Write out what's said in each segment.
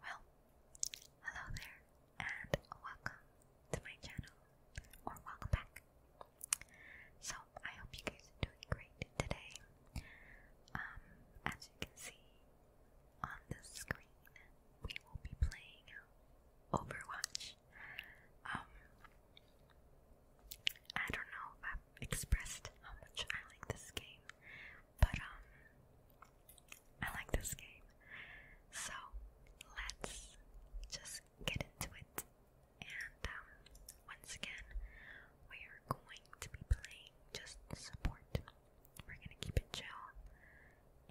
Well, hello there, and welcome to my channel, or welcome back. So, I hope you guys are doing great today. Um, as you can see on the screen, we will be playing Overwatch. Um, I don't know if I've expressed how much I like this game. But um I like this game. So let's just get into it. And um, once again we are going to be playing just support. We're gonna keep it chill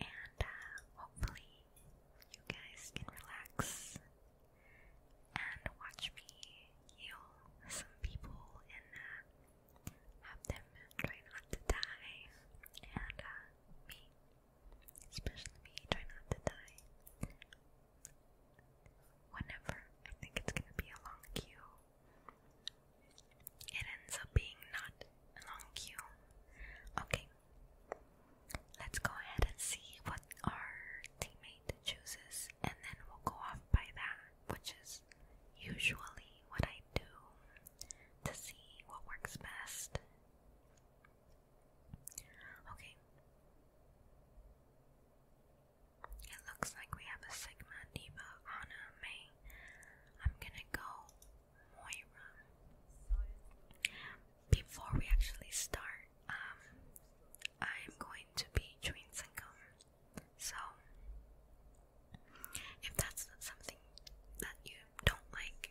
and uh, hopefully you guys can relax and watch me heal some people uh, have them try not to die, and uh, me, especially me, try not to die. Whenever I think it's gonna be a long queue, it ends up being not a long queue. Okay, let's go ahead and see what our teammate chooses, and then we'll go off by that, which is usually what I do to see what works best. Okay. It looks like we have a Sigma, Diva, Anna, May. I'm gonna go Moira. Before we actually start, um, I'm going to be doing some so, if that's something that you don't like,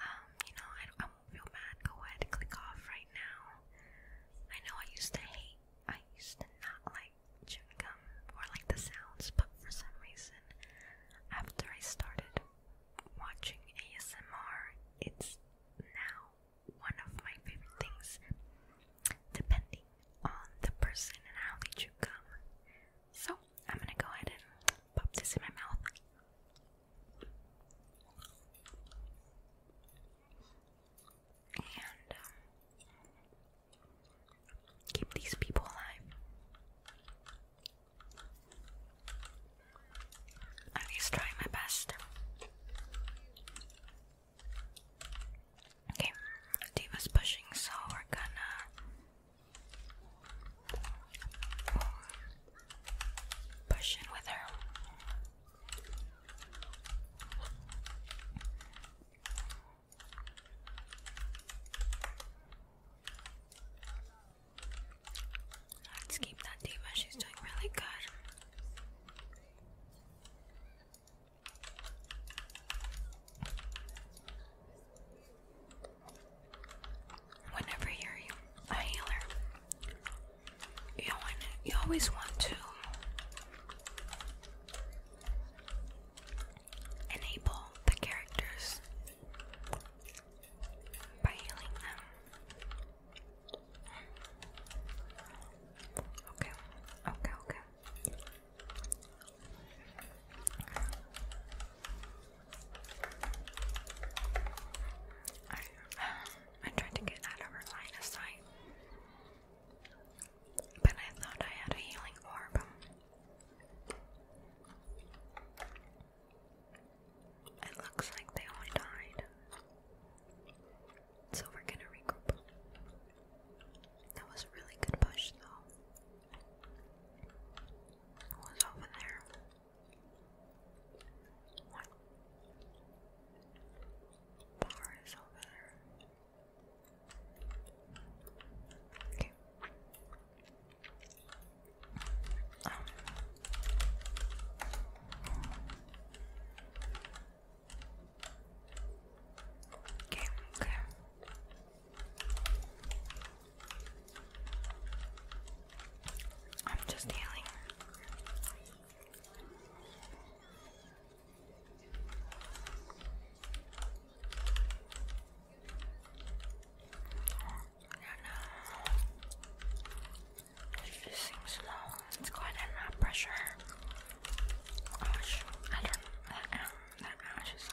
um, you know, I, I won't feel bad. Go ahead, click off right now. I know I used to hate, I used to not like chewing gum or like the sounds, but for some reason, after I started watching ASMR, it's now one of my favorite things. Depending on the person and how they chew gum. So I'm gonna go ahead and pop this in my mouth. And um, keep these people alive. I'm just my best. Okay, Diva's pushing, so we're gonna push in with her. Let's keep that Diva, she's doing really good. Whenever you're a healer, you, always want to enable the characters by healing them. Okay, okay, okay. I, I tried to get out of her line of sight. But I thought I had a healing orb. It looks like they all died. So we're gonna regroup. That was a really good push, though. What's over there? What bar is over there? Okay. Um. okay. I'm just healing. It seems low. It's quite a lot pressure. Gosh, oh, I don't. That, um, that ash oh, is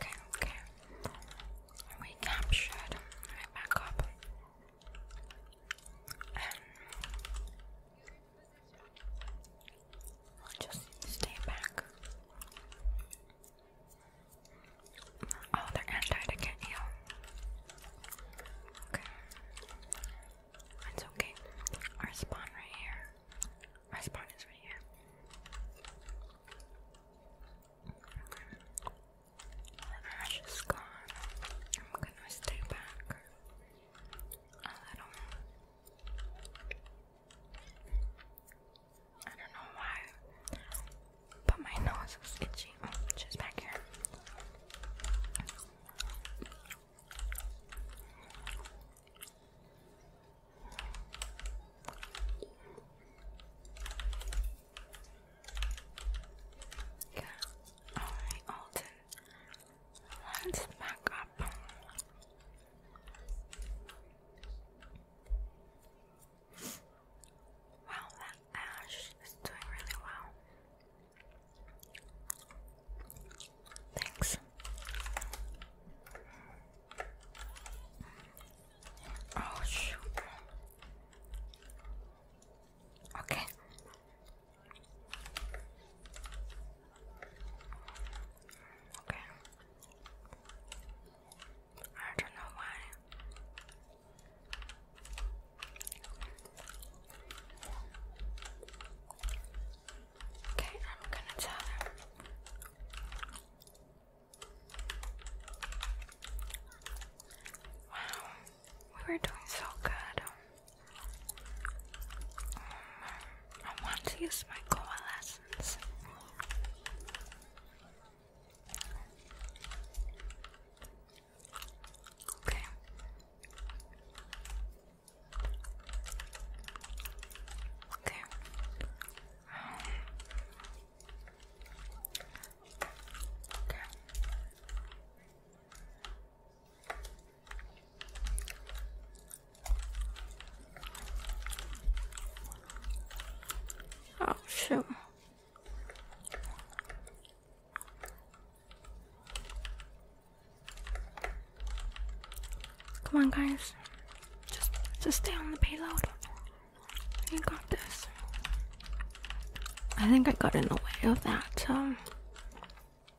Okay, okay. We captured right back up. Um, i just stay back. Oh, they're anti Okay. It's okay. Our spawn right here. Our spawn is right here. Okay. Ash is gone. I'm gonna stay back a little. I don't know why, but my nose is itchy. Oh, back here. Yeah. Alright, Let's back up. Wow, that ash is doing really well. Thanks. Oh shoot. Okay. Okay. I don't know why. Okay, I'm gonna tell him. Wow, we were doing so good. I want to use my coalescence. Okay. Okay. Um, okay. Oh, shoot. Come on, guys. Just, just stay on the payload. You got this. I think I got in the way of that, um,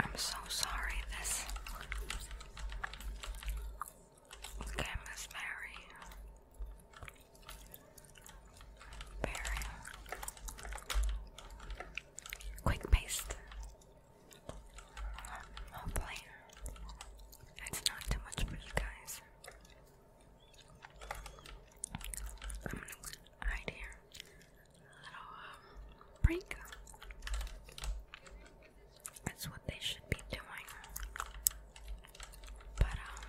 I'm so sorry this Okay, Miss Mary. Berry. Quick paste. Hopefully, it's not too much for you guys. I'm gonna hide here. A little um, prank. That's what they should be doing. But um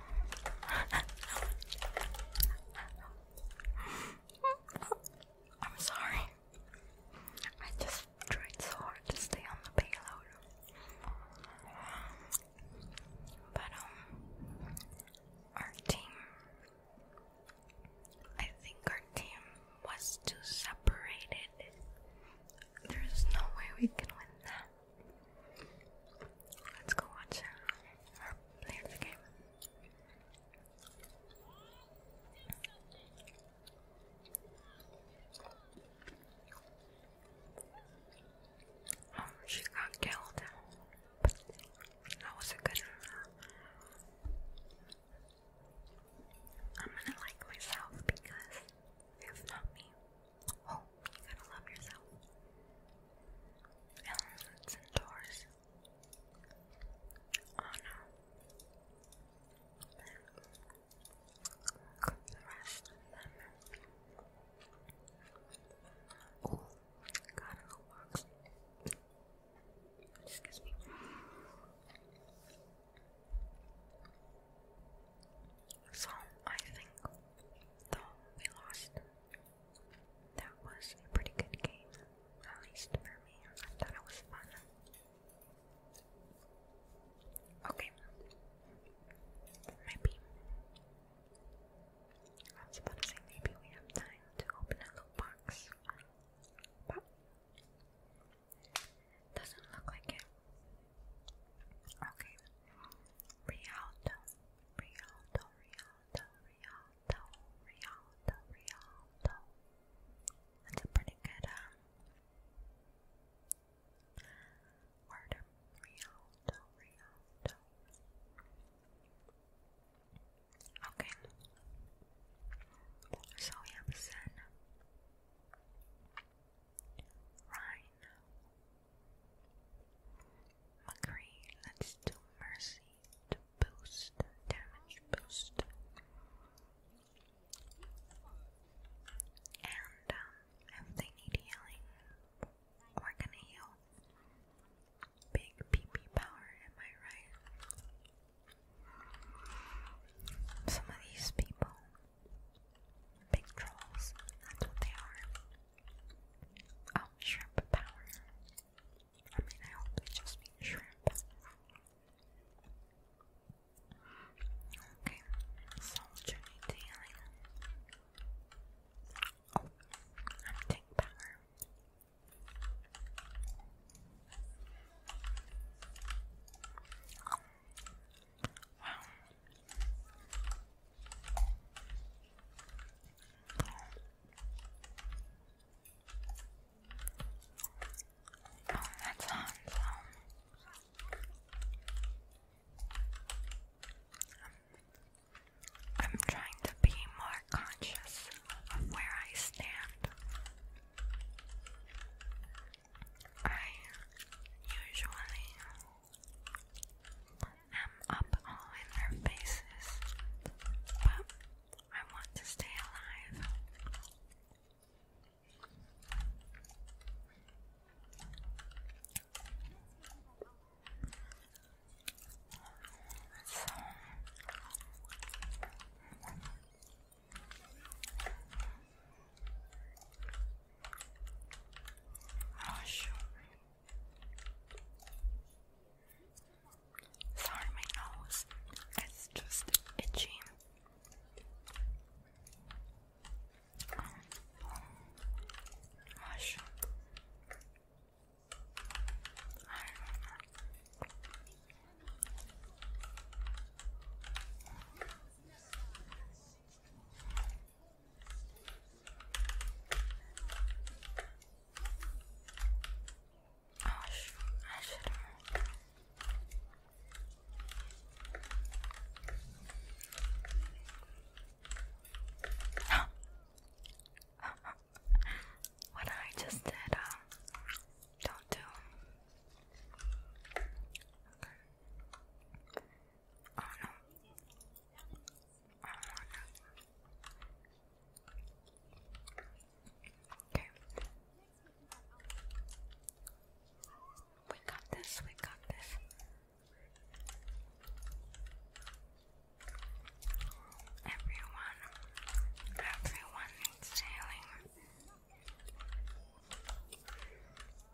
I'm sorry. I just tried so hard to stay on the payload. But, um, our team. I think our team was too separated. There's no way we can win that. Let's go watch her uh, game. Oh, she got killed. that was a good I'm gonna like myself because if not me, Oh, you gotta love yourself. Elements and doors. Oh no. the rest of them. Oh, got a little box. Excuse me. So I think though we lost, that was a pretty good game, at least for me. I thought it was fun. Okay, maybe I was about to say maybe we have time to open a little box, but doesn't look like it. Okay. Rialto, Rialto, Rialto, Rialto, Rialto, Rialto. That's a pretty good um, word. Rialto, Rialto. Okay. So we have Zen. Rhine. McCree, let's do Mercy to boost, damage boost. And um, if they need healing, we're gonna heal. Big PP power, am I right? Some of these people, big trolls, that's what they are. Oh, shrimp power. I mean, I hope they just mean shrimp. Okay, soldier oh, I'm tank power. Oh, that um, I'm trying to be more conscious of where I stand. I usually am up all in their faces, but I want to stay alive. So, oh shoot, Sorry, my nose is just itchy. Oh, Oh, I what I just did, um, uh, don't do. Oh no. We got this, we got this. Everyone, everyone needs healing.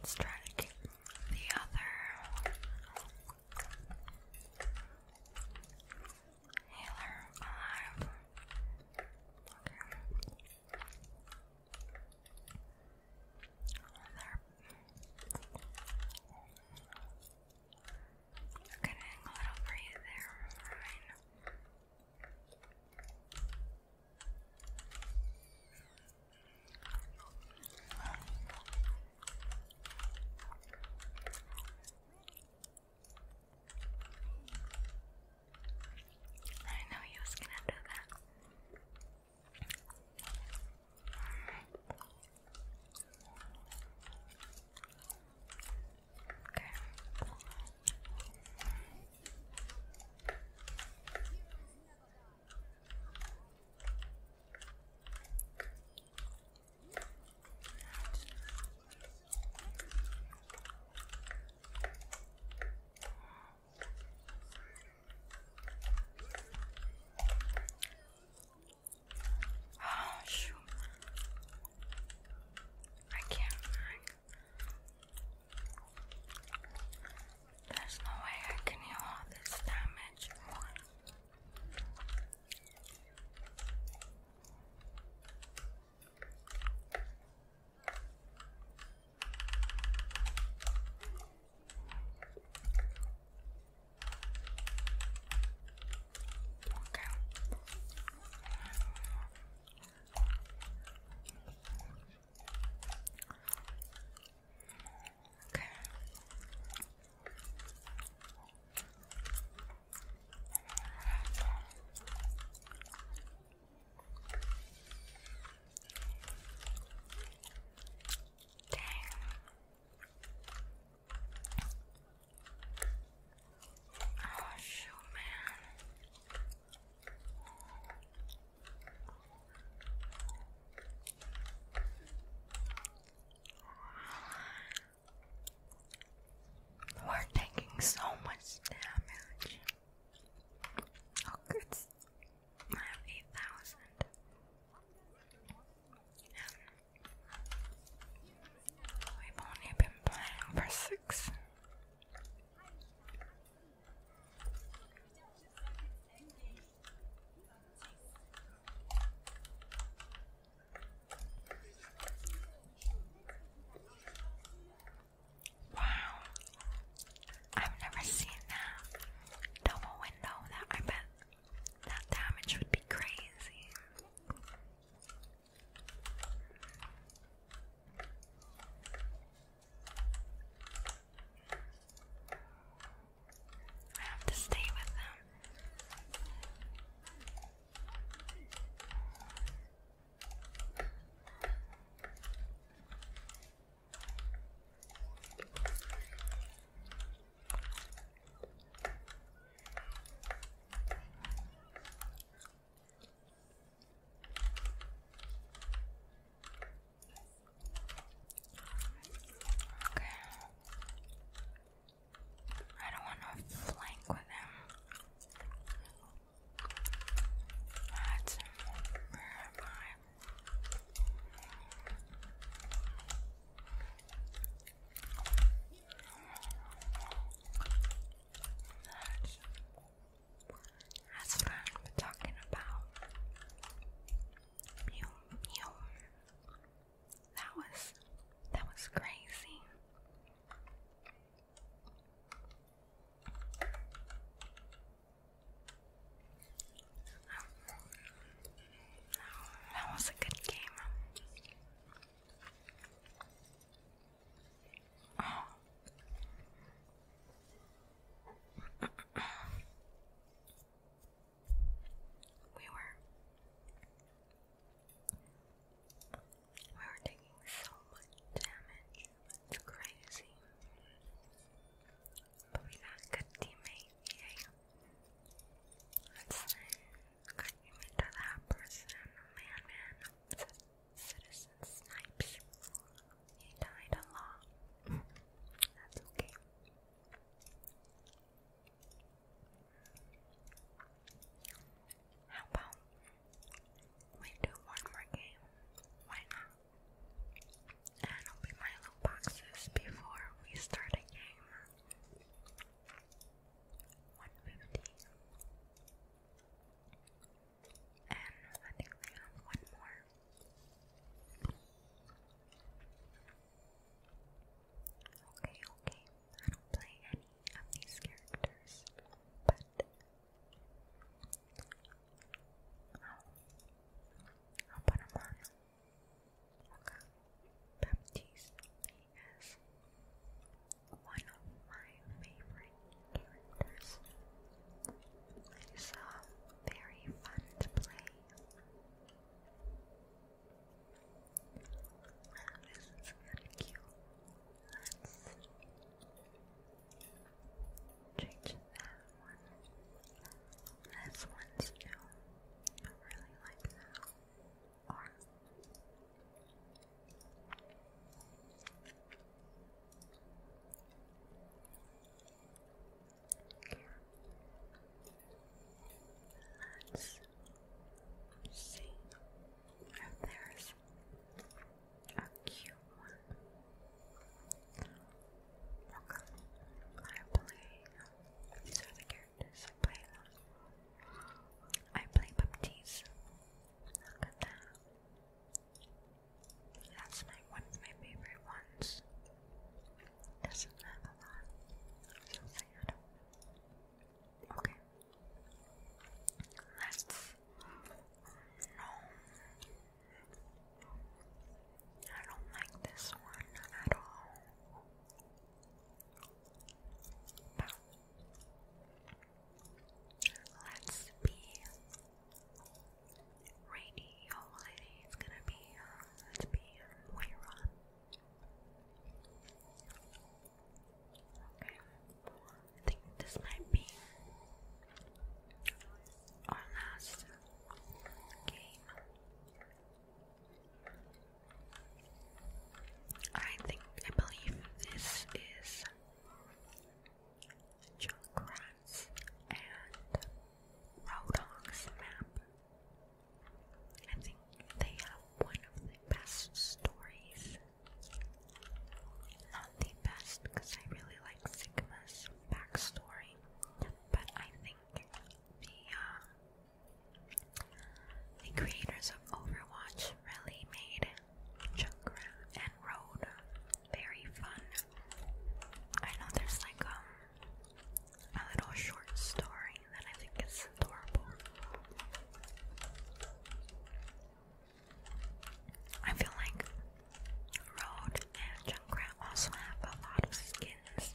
Let's try to keep the other healer alive. Okay. There. Getting a little breathe there, right? I know he was do that. Okay. Oh shoot. I can't. There's no way I can heal all this damage. Okay. Okay. Dang. Oh shoot, man. We're taking so much damage. Oh, good. I have 8,000. We've only been playing for six. Wow, I've never seen that double window. That I bet that damage would be crazy. I have to stay with them. Okay. I don't want to flank with But where that's, what I'm talking about. You, you. That was, that was crazy. that was a good game. We were we were taking so much damage. It's crazy. But we got good teammates. That's nice. Could you mean that person, man, man? Citizen Snipes. He died a lot. That's okay. How about we do one more game? Why not? And open my loot boxes before we start a game. 150. And I think we have one more. Okay, okay. I don't play any of these characters, but I'll, I'll put them on. Okay. Baptiste, one of my favorite characters. He's uh, very fun to play. Wow, this cute. Let's change that one. This one's new. I really like that. Or Let's see if there's a cute one. Welcome. I play. These are the characters I play. I play Baptiste. Look at that. That's my one of my favorite ones. Doesn't have a so sad. Okay. let no. I don't like this one at all. Let's be rainy. Hopefully, it's gonna be. let's be um, Okay, I think this might be our last game. I think I believe this is Junkrat's and Roadhog's map. I think they have one of the best stories. Not the best, because I really like Sigma's backstory, but I think the, uh, the creators of Overwatch really made chakra and road. Very fun. I know there's like um a little short story that I think is adorable. I feel like road and chakra also have a lot of skins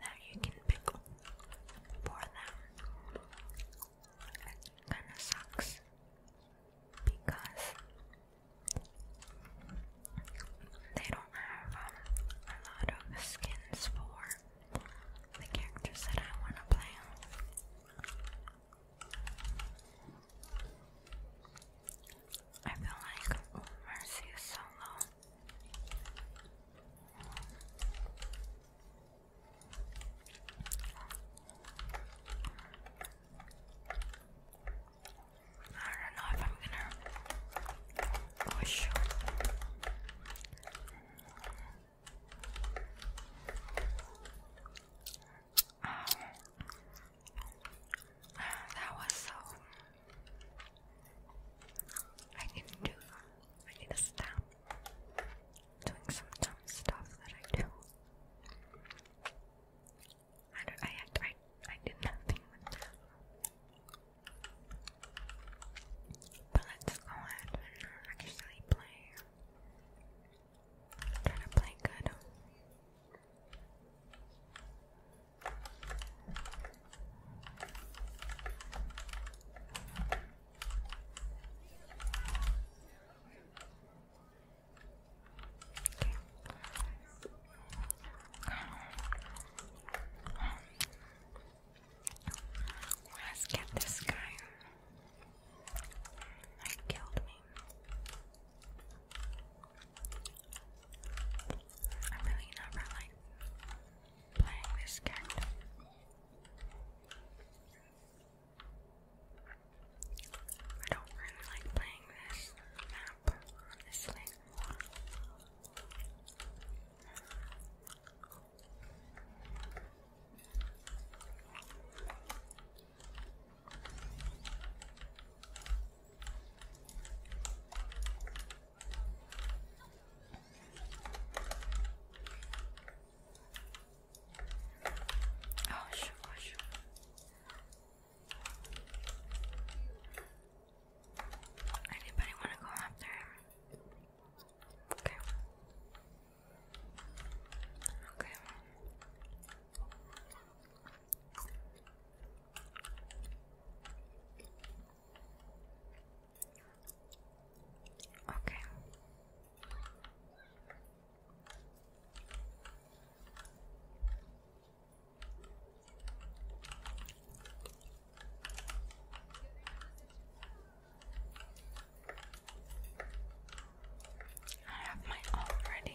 that you can pick for them. It kinda sucks because they don't have um, a lot of skins for the characters that I want to play. I feel like oh, Mercy is so low. I don't know if I'm gonna push. Um, that was so. I need to. I need to stop doing some dumb stuff that I do. I I, act, I I did nothing with that. But let's go ahead and actually play. Try to play good. Let's get this guy. He killed me. I really never like playing this cat. I don't really like playing this map, honestly. Oh, sure, sure. Anybody want to go up there? Okay. Okay. Okay. I have my own ready.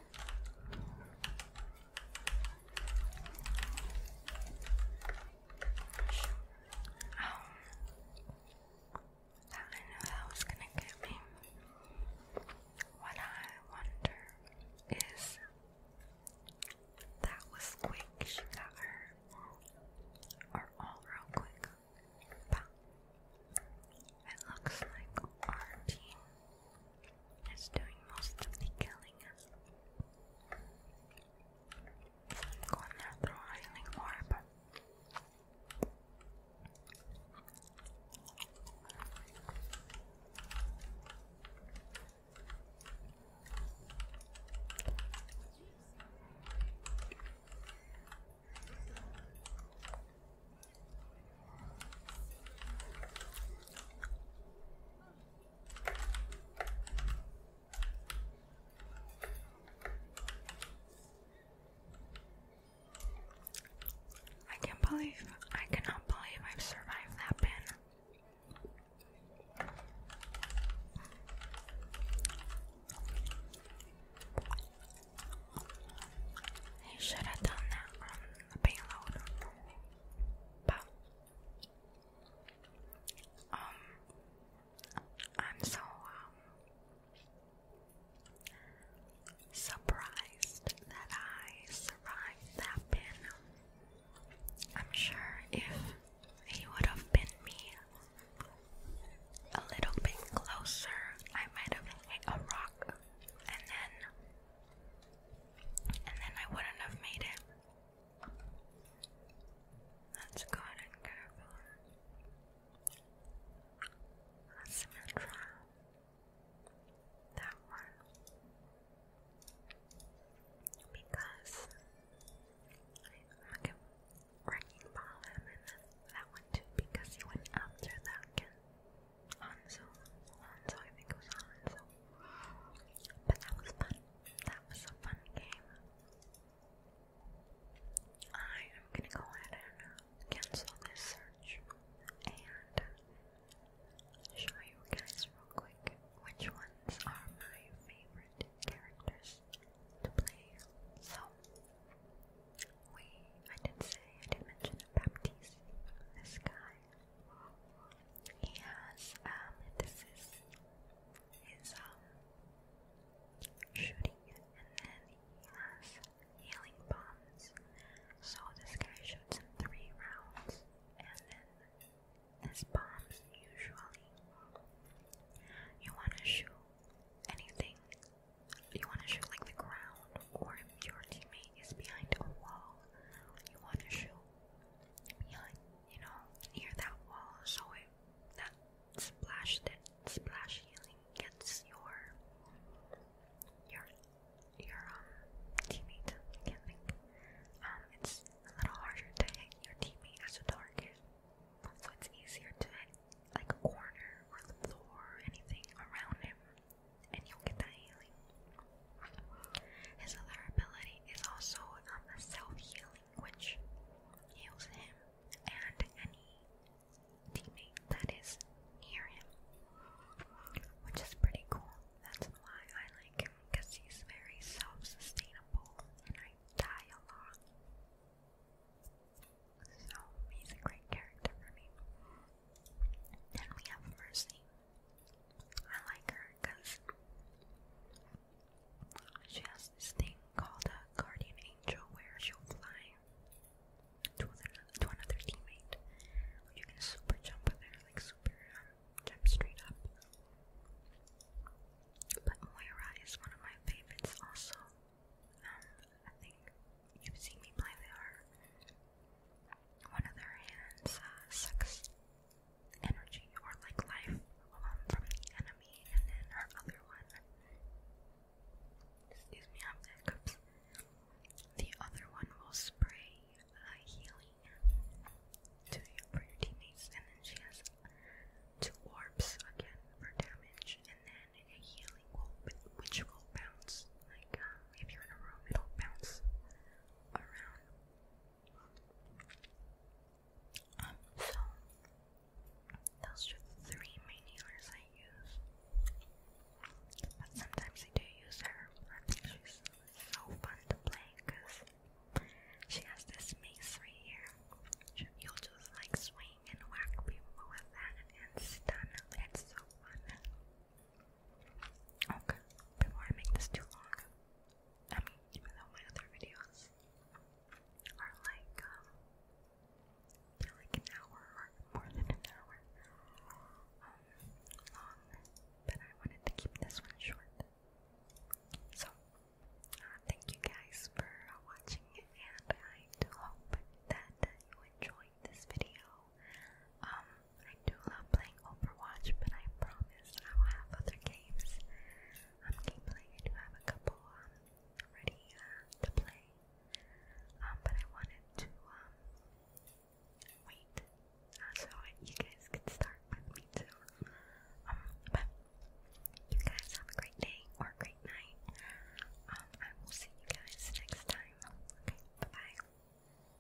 Oh, that I knew that was gonna get me. What I wonder is that was quick. She got her, or all real quick. it looks like our is doing most of the killing. Gonna throw a healing orb. I can't believe, I cannot believe I've survived that pin. He should have done that on the payload. But um, I'm so um, surprised that I survived that pin. I'm sure if he would have been me a little bit closer, I might have hit a rock and then and then I wouldn't have made it. Let's and careful. That's Symmetra. That one. Because I'm gonna him and then that one too because he went after that Hanzo, Hanzo, I think it was Hanzo. But that was fun. That was a fun game. I am gonna go ahead and cancel this search and show you guys real quick which ones are my favorite characters to play. So we I did say I did mention Baptiste, this guy. He has um this is his um shooting and then he has healing bombs. So this guy shoots in three rounds and then his bombs usually you wanna shoot anything you wanna shoot like the ground or if your teammate is behind a wall, you want to shoot behind, you know, near that wall so that splash that splash healing gets your your your um teammate. Um, it's a little harder to hit your teammate as a target, so it's easier to hit like a corner or the floor or anything around him and you'll get the healing. His other ability is also um, self-healing, which heals him and any teammate that is near him, which is pretty cool. That's why I like him, because he's very self-sustainable, and I die a lot. So, he's a great character for me. Then we have Mercy. I like her because she has this thing called a guardian angel where she'll fly to another, to another teammate. You can super jump with like super um, jump straight up. But Moira is one of my favorites also. Um, I think you've seen me play with one of their hands uh, energy or like life from the enemy, and then her other one. Excuse me, I'm dead. The other one will spray uh, healing to your, teammates, and then she has two orbs again for damage, and then a healing will, which will bounce. Like uh, if you're in a room, it'll bounce around um, so those are three main I use. But sometimes I do use her. I think she's so fun to play because she has this mace right here. you'll just like swing and whack people with that and stun them. It's so fun. Okay, before I make this too long, I mean, even though my other videos are like, um, they're like an hour or more than an hour um, long, but I wanted to keep this one short. So, uh, thank you guys for watching, and I do hope that you enjoyed this video. Um, I do love playing Overwatch, but I promise I will have other games. I'm game playing. I do have a couple um, ready uh, to play, um, but I wanted to wait uh, so you guys could start with me too. but you guys have a great day or a great night. I will see you guys next time. Okay, bye bye.